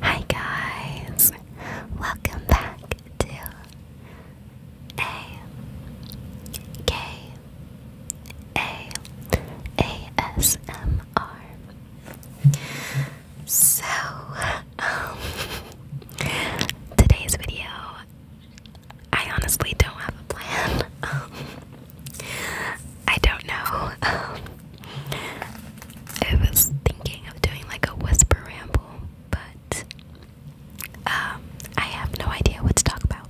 Hi guys, welcome back to A K A A S M R. So, um, today's video, I honestly don't have a plan. Um, I don't know. Um, I was thinking of doing like a whisper ramble, but um, I have no idea what to talk about.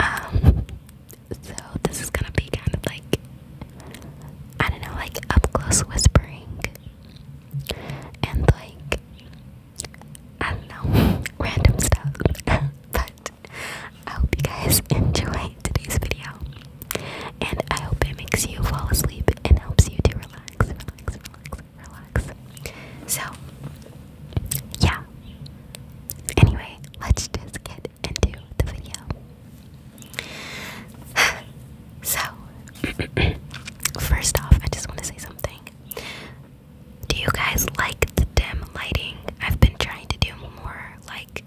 Um, so this is gonna be kind of like I don't know, like up close whispering and like I don't know, random stuff. But I hope you guys enjoy today's video. And I hope it makes you fall asleep and helps you to relax, relax, relax, relax. So, yeah. Anyway, let's just get into the video. so, first off, I just want to say something. Do you guys like the dim lighting? I've been trying to do more like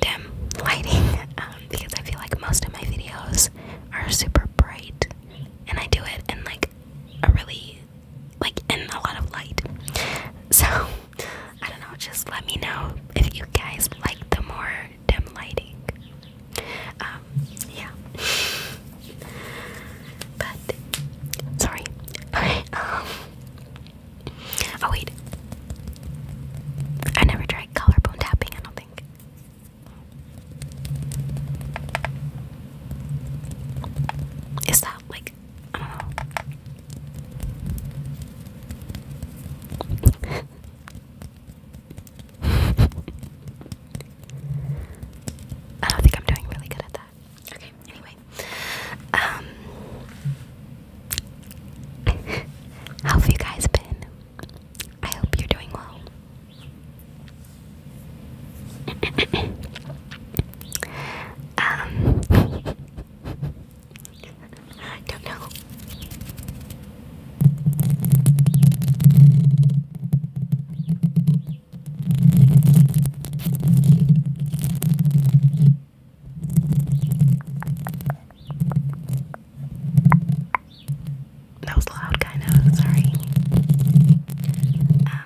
dim lighting um, because I feel like most of my videos are super bright and I do it in like a really like in a lot of light. So I don't know, just let me know if you guys like the more dim lighting. Um, yeah. But sorry. Um, Oh wait. I never tried collarbone tapping, I don't think. Is that like I don't know. I don't think I'm doing really good at that. Okay, anyway. Um How have you guys been? I hope you're doing well. um I don't know. That was loud, kind of. Sorry. Um,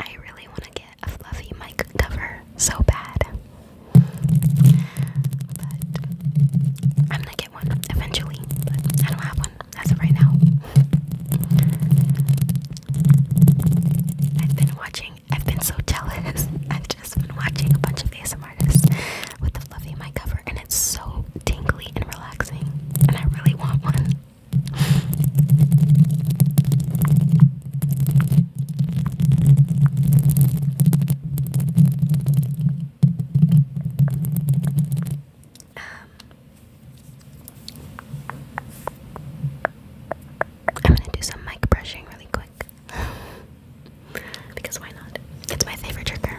I really want to get a fluffy mic cover so bad. I'm gonna get one eventually, I don't have one as of right now. I've been watching, I've been so jealous. I've just been watching a bunch of ASMR artists with the fluffy mic cover, and it's so tingly and relaxing, and I really want one. Um, I'm gonna do some mic brushing really quick. because why not? It's my favorite trigger.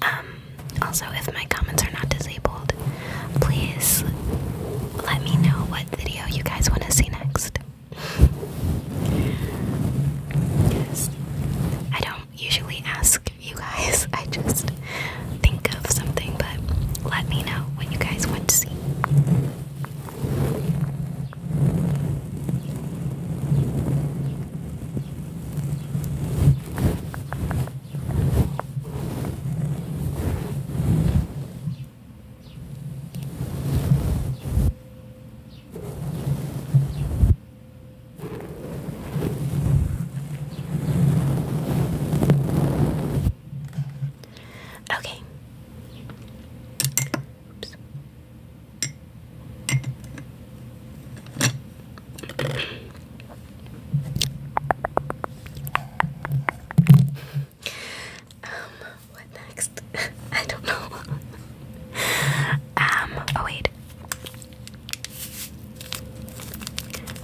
Um, um also, if my comments are not disabled, please let me know what video you guys want to see next. I don't usually ask you guys, I just think of something, but let me know what you guys want to see. Okay. Oops. Um, what next? I don't know. um, oh wait.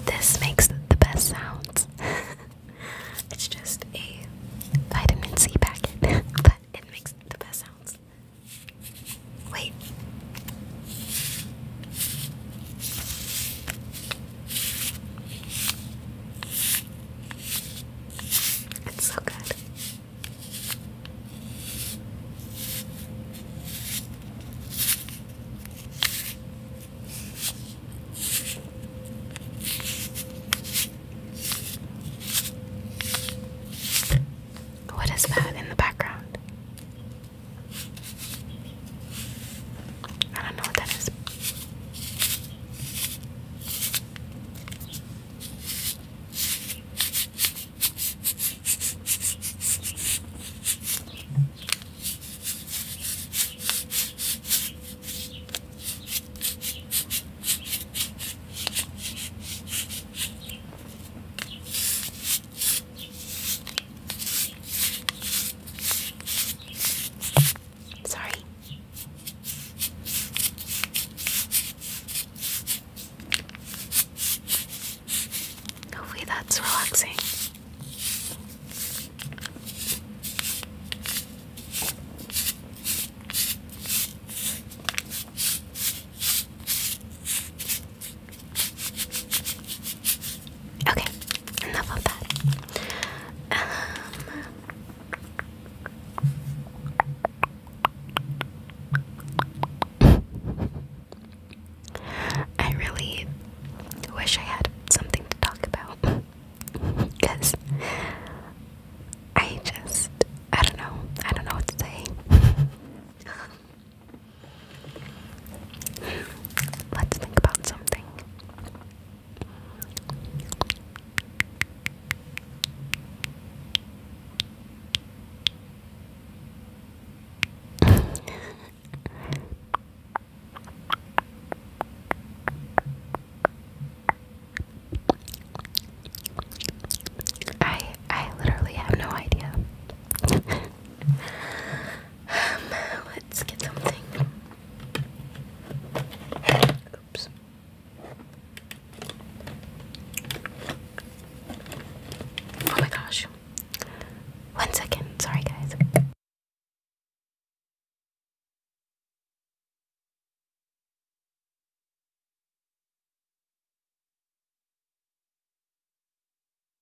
This makes the best sounds. it's just a vitamin C packet, but it makes the best sounds. Wait. It's so good. What is that in the background? I don't know what that is. Sorry. Hopefully that's relaxing. Okay, enough of that. Um, I really wish I had something to talk about because I just I don't know I don't know what to say. Let's think about something. I I literally have no idea. let's get something. Oops. Oh my gosh. One second. Sorry, guys.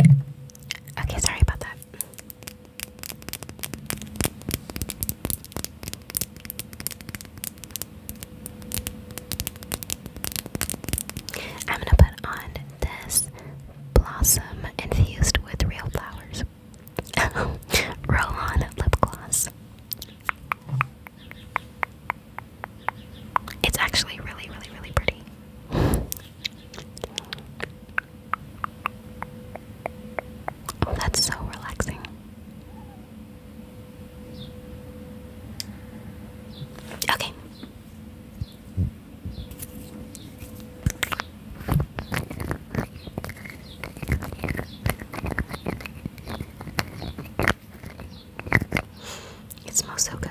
Okay, sorry about that. I'm gonna put on this blossom infused with real flowers. Roll lip gloss. It's actually really, really, really pretty. that's so relaxing. Okay. It smells so good.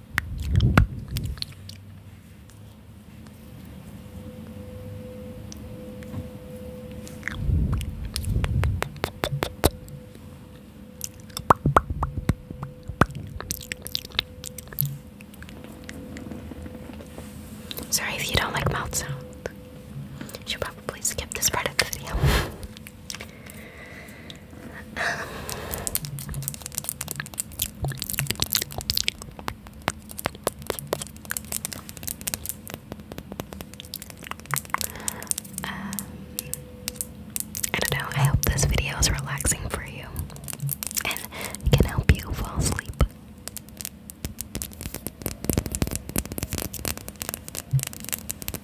Sorry if you don't like mouth sounds. You should probably skip this part of the video. Um, I don't know. I hope this video is relaxing for you and can help you fall asleep.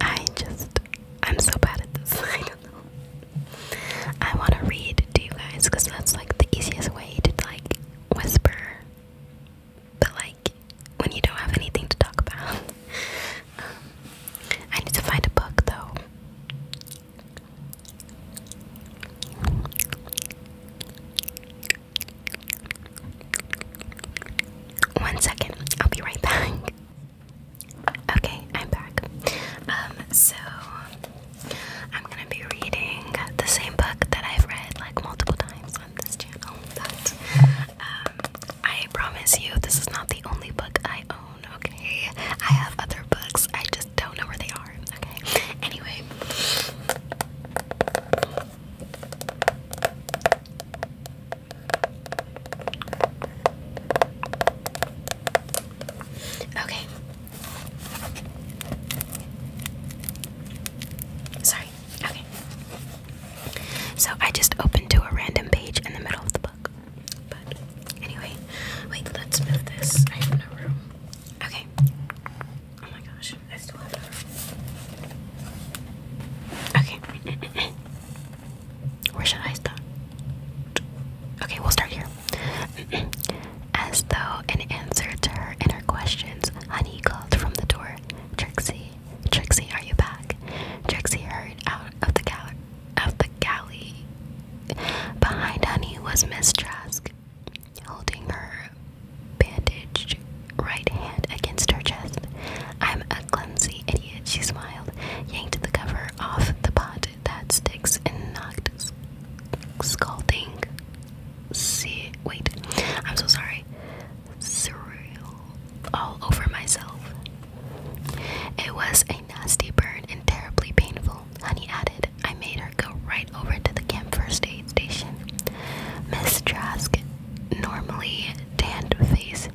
I just, I'm so bad at this. I don't know. I want to read to you guys because that's like the easiest way to like whisper. But like when you don't have anything to talk about, um, I need to find a book though. One second, I'll be right back. Okay, I'm back. Um, so I'm gonna be reading the same book that I've read like multiple times on this channel. Um, I promise you, this is not the only book I own. Okay, I have other books. I just don't know where they Okay. Anyway. Okay. Sorry. Okay. So I just opened to a random page in the middle of the book. But anyway, wait, let's move this. I have no room. Okay. Oh my gosh, I still have her. Okay. Where should I start? Okay, we'll start here. As though in answer to her inner questions, Honey called from the door. Trixie, Trixie, are you back? Trixie hurried out of the galley. Of the galley. Behind Honey was Miss Trask holding her bandaged right hand against her chest. I'm a clumsy idiot, she smiled, yanked the cover off the pot that sticks and knocked sc scalding. See, wait, I'm so sorry. Surreal all over myself. It was a nasty burn and terribly painful, Honey added. I made her go right over to the camp first aid station. Miss Trask, normally tanned face,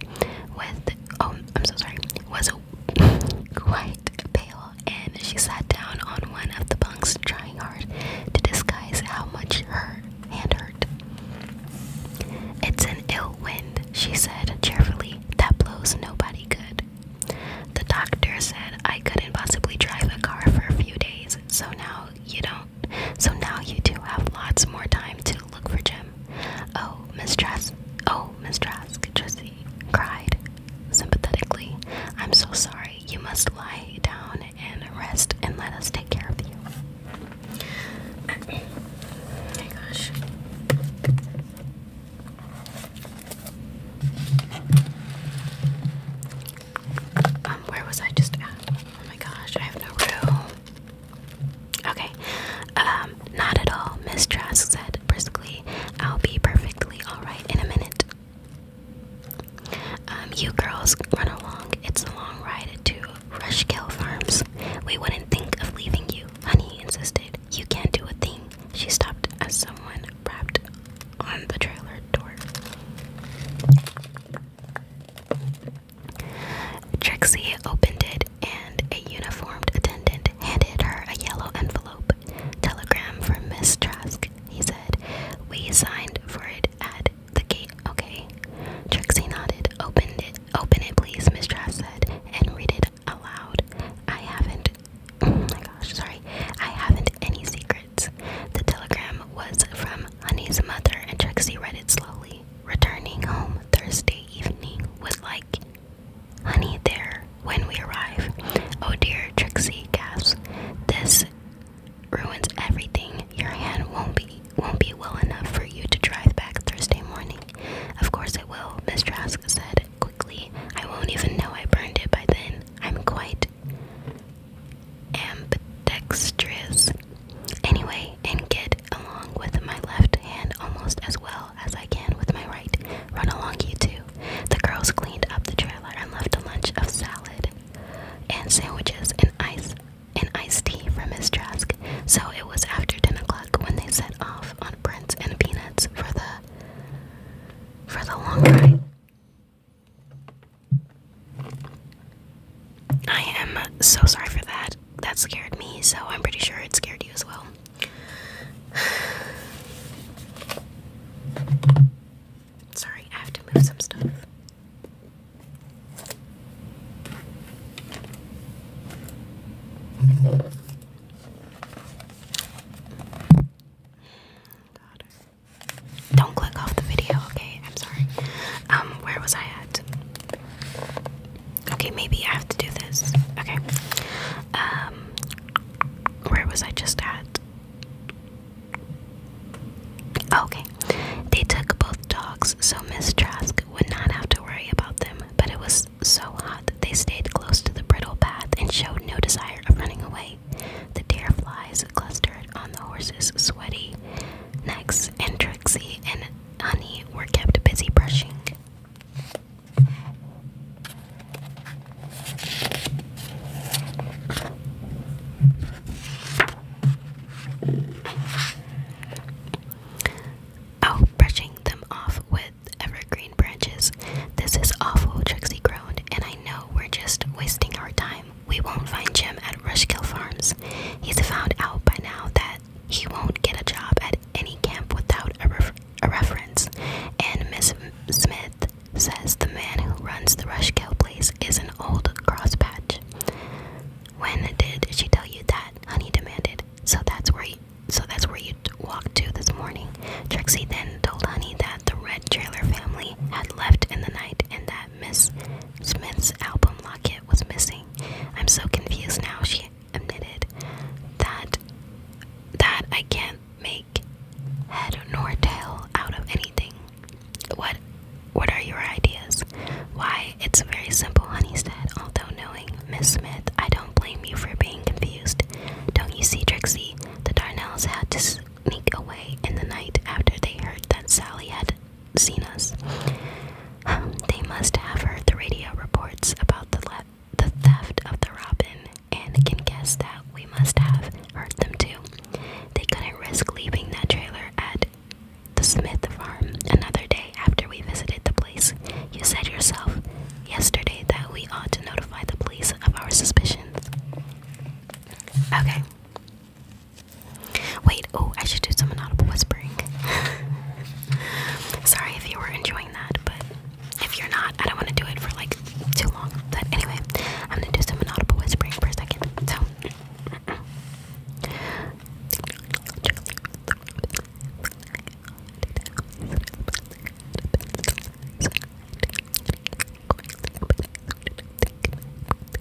with oh, I'm so sorry, was quite pale, and she sat down on one of the bunks, trying hard to disguise how much her hand hurt. It's an ill wind, she said cheerfully. That blows nobody good. The doctor said I couldn't possibly drive a car for a few days, so now you don't. So now you do have lots more time to look for Jim. Oh, Miss Trask. Oh, Miss Trask, Trissy cried sympathetically. I'm so sorry. You must lie down and rest and let us take care of you. my gosh. Um, where was I just at? Oh my gosh, I have no room. Okay. Um, not at all, Miss said briskly. I'll be perfectly alright in a minute. Um, you girls run along. It's a long ride to Rushkill Farms. We wouldn't think of leaving you, honey insisted. You can't do a thing. She stopped as someone rapped on the trailer door. Trixie opened it, and a uniformed attendant handed her a yellow envelope. Telegram from Miss Trask, he said. We signed for it at the gate, okay? Trixie nodded. Open it, open it, please, Miss Trask said, and read it aloud. I haven't. Oh my gosh, sorry. I haven't any secrets. The telegram was from Honey's mother, and Trixie read it slowly. Returning home Thursday evening with like honey there when we arrive. Oh dear, Trixie gasps. This ruins everything. Your hand won't be won't be well enough for you to drive back Thursday morning. Of course it will, Miss Trask said quickly. I won't even know I burned it by then. I'm quite ambidextrous. Anyway, and get along with my left hand almost as well as I can with my right. Run along, you two. The girls cleaned up the trailer and left a lunch of salad and sandwiches and ice and iced tea for Miss Trask. So it was after ten o'clock when they set off on Prince and Peanuts for the for the long ride. I am so sorry for that. That scared me, so I'm pretty sure it scared you as well. sorry, I have to move some stuff. Don't click off the video, okay? I'm sorry. Um, where was I at? Okay, maybe I have to do this. Okay. Um, where was I just at? Oh, okay. They took both dogs, so Miss Trask would not have to worry about them, but it was so hot they stayed close to the brittle path and showed no desire of running away. The deer flies clustered on the horses, sweaty necks, and Trixie and Honey were kept busy brushing. Oh, brushing them off with evergreen branches. This is awful, Trixie groaned, and I know we're just wasting our time, we won't find Jim at Rushkill Farms. He's found out by now that he won't get a job at any camp without a, a reference, and Miss Smith says the man who runs the Rushkill place is an old crosspatch. When did she tell you that? Honey demanded. So that's where so that's where you walked to this morning. Trixie then told Honey that the Red Trailer family had left in the night and that Miss Smith's album locket was missing. I'm so confused now, she admitted. That that I can't make head nor tail out of anything. What what are your ideas? Why, it's very simple, honey said, although knowing Miss Smith, I don't blame you for being confused. Don't you see, Trixie? The Darnells had to sneak away in the night after they heard that Sally had seen us. Um, they must have heard the radio reports about the, the theft of the robin and can guess that we must have heard them too. They couldn't risk leaving that trailer at the Smith farm another day after we visited the place. You said yourself yesterday that we ought to notify the police of our suspicions. Okay. Wait, oh, I should do some inaudible whispering. Sorry if you were enjoying that, but if you're not, I don't want to do it for like too long. But anyway, I'm gonna do some inaudible whispering for a second. So.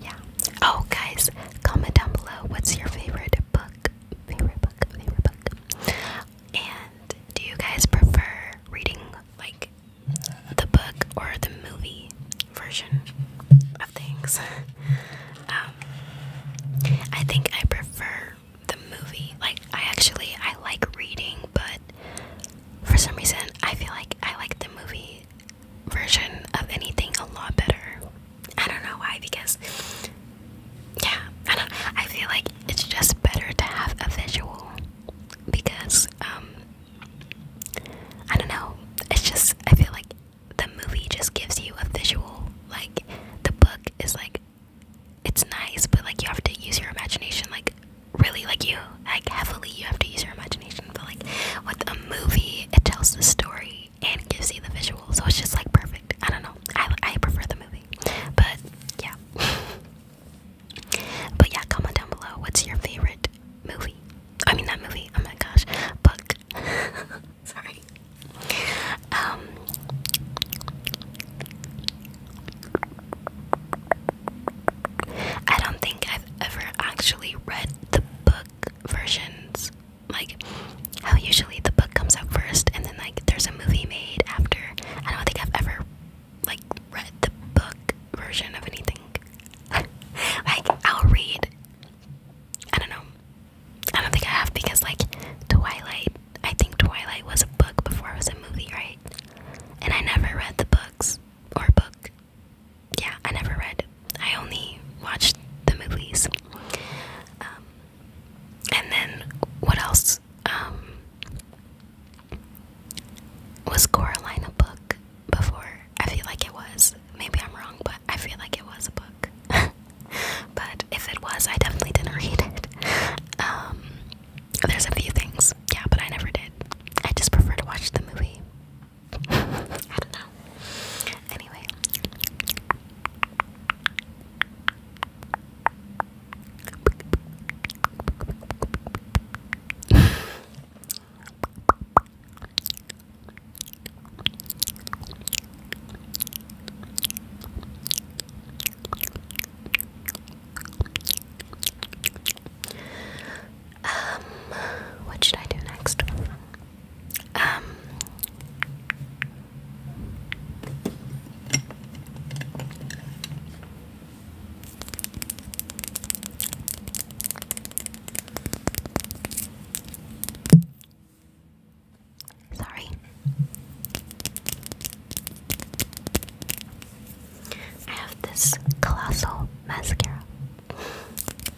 yeah. Oh, guys, comment down below what's your favorite book, favorite book, favorite book. And do you guys prefer reading like the book or the movie version of things? um, I think I prefer the movie. Like, I actually I like reading, but for some reason I feel like I like the movie version of anything a lot better. I don't know why, because yeah, I don't. I feel like it's just better to have a visual because um, I don't know. It's just I feel like the movie just gives you a visual. Like the book is like it's nice, but like you have to use your imagination. Like really, like you like heavily, you have to use your imagination. But like with a movie, it tells the story and gives you the visual. So it's just like perfect. I don't know. I I prefer the movie. But yeah. but yeah, comment down below what's your favorite movie. I mean that movie. Oh my gosh. Book. Sorry. Um I don't think I've ever actually read the book versions like how usually the book comes out first and then like there's a movie made after. I don't think I've ever like read the book version of anything. like I'll read I don't know. I don't think I have because like Twilight I think Twilight was a book before it was a movie, right? And I never read the books or book yeah, I never read. I only watched the movies. Um, and then what else? Um, was Coraline a book before? I feel like it was. Maybe I'm wrong, but I feel like it was a book. but if it was, I definitely didn't read it. Um, there's a few things, yeah, but I never did. I just prefer to watch the movie. I don't know. Anyway. Um, what should I do next? Um, sorry. I have this colossal mascara.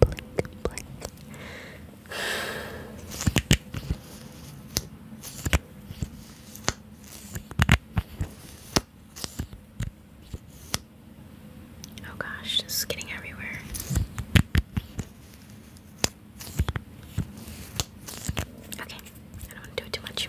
blink, blink. Oh gosh, this is getting everywhere. Okay, I don't want to do it too much.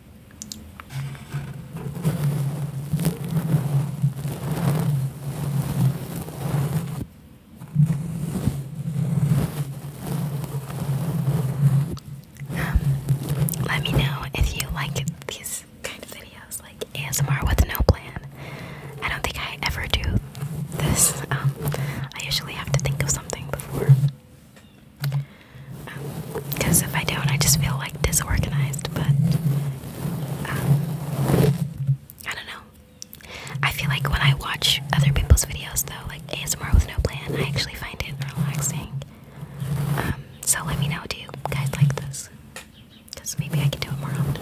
Um, let me know if you like these videos, like ASMR with no plan. I don't think I ever do this. Um, I usually have to think of something before because if I don't, I just feel like disorganized. But um, I don't know. I feel like when I watch other people's videos, though, like ASMR with no plan, I actually find it relaxing. Um, so let me know, do you guys like this? Because maybe I can do it more often.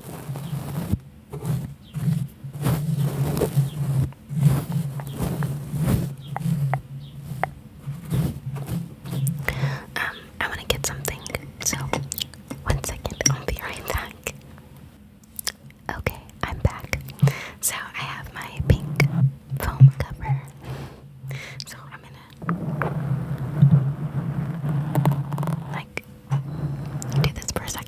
Um, I want to get something, so one second, I'll be right back. Okay, I'm back. So I have my pink foam cover. So I'm gonna like, do this for a second.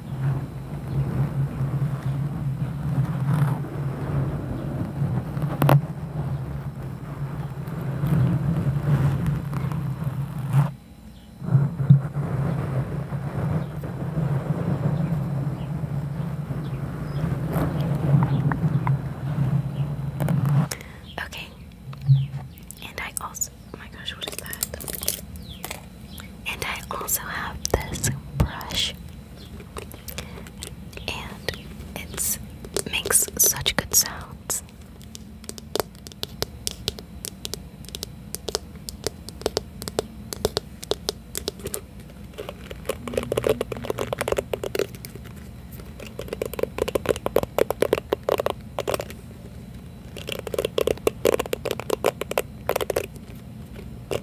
Okay. And I also, oh my gosh, what is that? And I also have this brush, and it makes such good sounds. But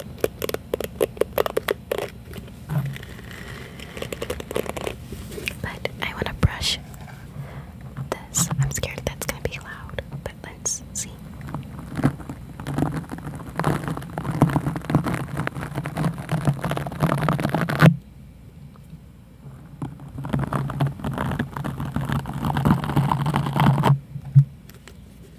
I want to brush this. I'm scared that's going to be loud, but let's see.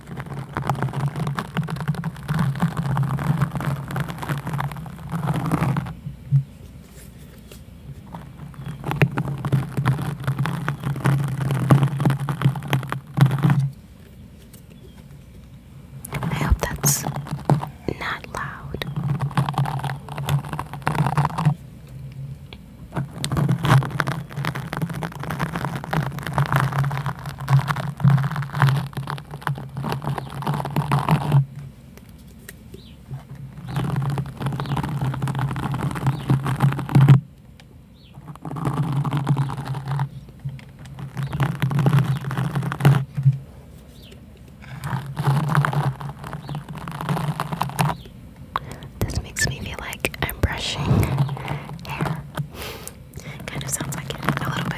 I hope that's not loud. This makes me feel like I'm brushing hair. Kind of sounds like it a little bit.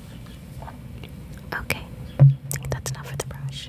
Okay, I think that's enough for the brush.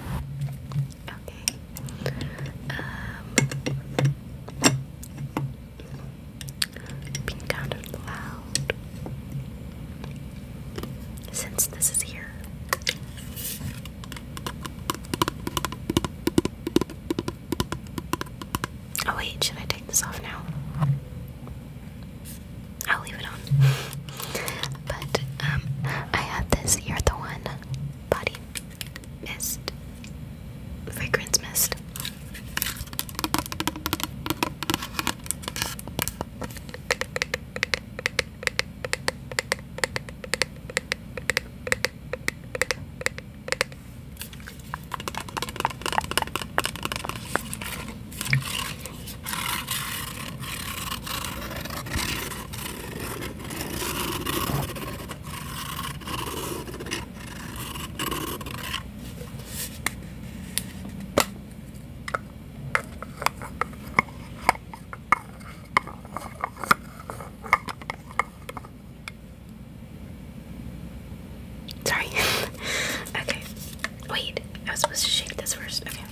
Okay. Um, being kind of loud since this is here. Oh wait, should I take this off now? I'll leave it on. But um, I have this You're the One body mist, fragrance mist. Sorry. okay. Wait, I was supposed to shake this first. Okay.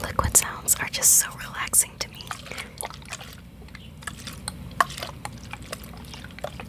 Liquid sounds are just so relaxing to me.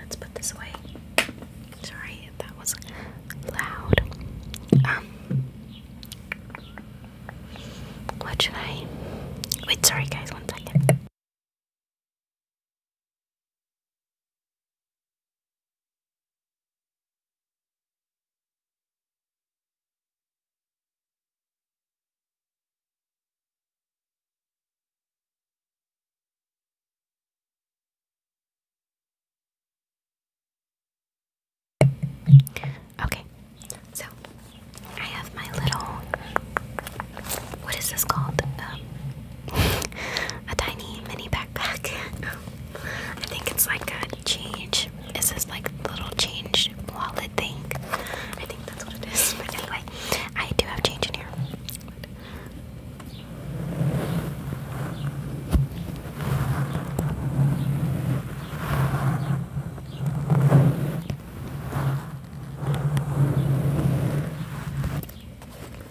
Let's put this away. Sorry that was loud. Um what should I wait sorry guys one second. Okay, so I have my little, what is this called? Um, a tiny mini backpack. I think it's like a change. It's this like little change wallet thing? I think that's what it is. But anyway, I do have change in here.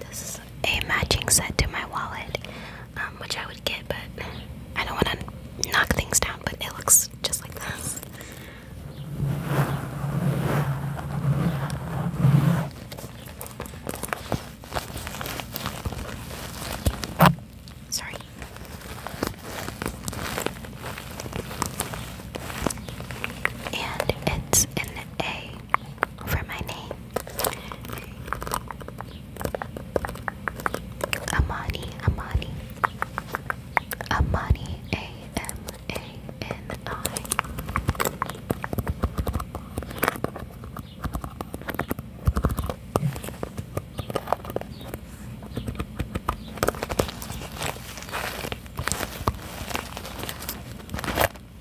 This is a matching set to my wallet, um, which I would get, but I don't want to knock things down, but it looks just like this. Sorry. And it's in a for my name. Amani, Amani, Amani, A M A N I.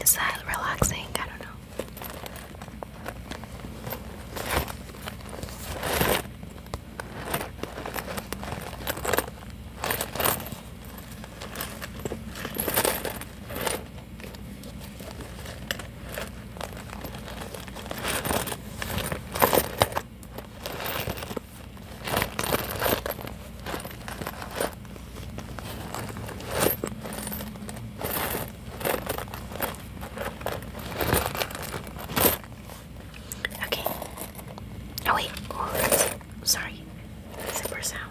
Is that relaxing? I don't know. Okay. Oh wait. Oh, Sorry. Zipper sound.